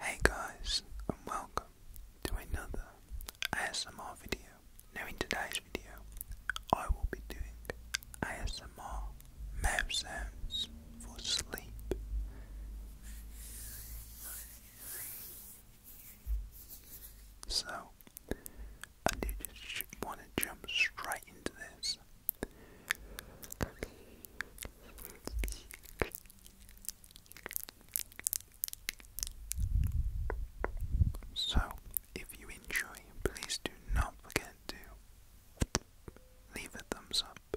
Hey guys and welcome to another ASMR video. Now in today's video I will be doing ASMR mouth sounds for sleep. So I do just want to jump straight into this. So, if you enjoy, please do not forget to leave a thumbs up,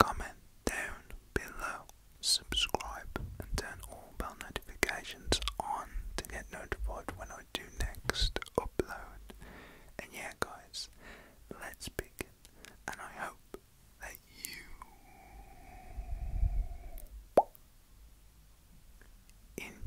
comment down below, subscribe, and turn all bell notifications on to get notified when I do next upload. And yeah, guys, let's begin. And I hope that you enjoy.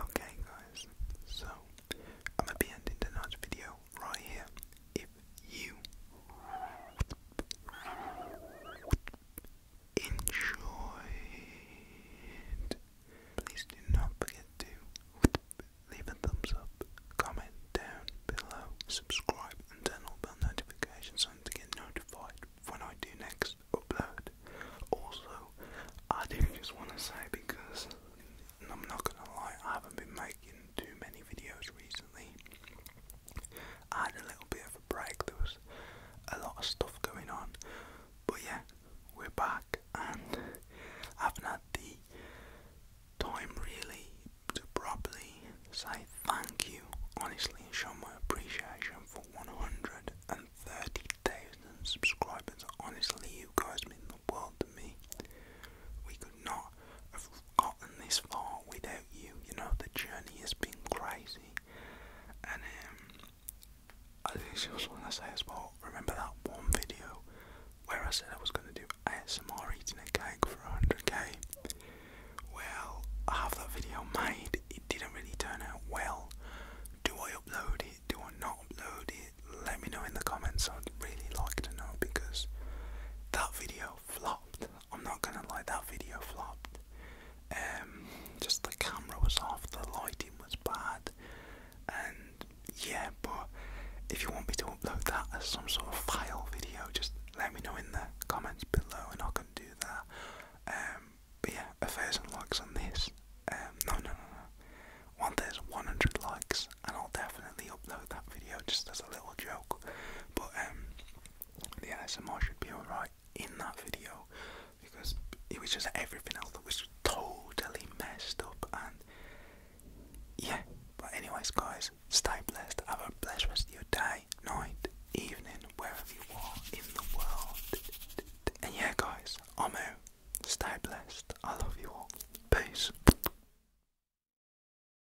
Okay, guys, so I'm gonna be ending tonight's video right here. If you enjoyed. Please do not forget to leave a thumbs up, comment down below, subscribe, and turn on bell notifications on to get notified when I do next upload. Also, I do just want to say because I'm not gonna lie, I haven't been making too many videos recently. I had a little bit of a break, there was a lot of stuff going on, but yeah, we're back and I haven't the time really to properly say thank you, honestly, show my appreciation for 130,000 subscribers. Honestly, you guys mean the world to me. We could not have gotten this far without you. You know, the journey has been crazy. And um, I just want to say as well, remember that one video where I said I was going to do ASMR eating a cake for 100k? Well, I have that video made. It didn't really turn out well. Do I upload it? Do I not upload it? Let me know in the comments. I'd really like to know because that video flopped. I'm not gonna lie, that video flopped. Um, just the camera was off, the lighting was bad, and yeah. But if you want me to upload that as some sort of file video, just let me know in the comments below, and I can do that. Um, but yeah, a thousand likes on this. Um, no, no, no, no. One thousand one hundred likes, and I'll definitely upload that video just as a little joke. But um, the ASMR should be alright in that video because it was just everything else that was totally messed up and yeah. But anyways guys, stay blessed. Have a blessed your day, night, evening, wherever you are in the world. And yeah guys, I'm out. Stay blessed. I love you all. Peace.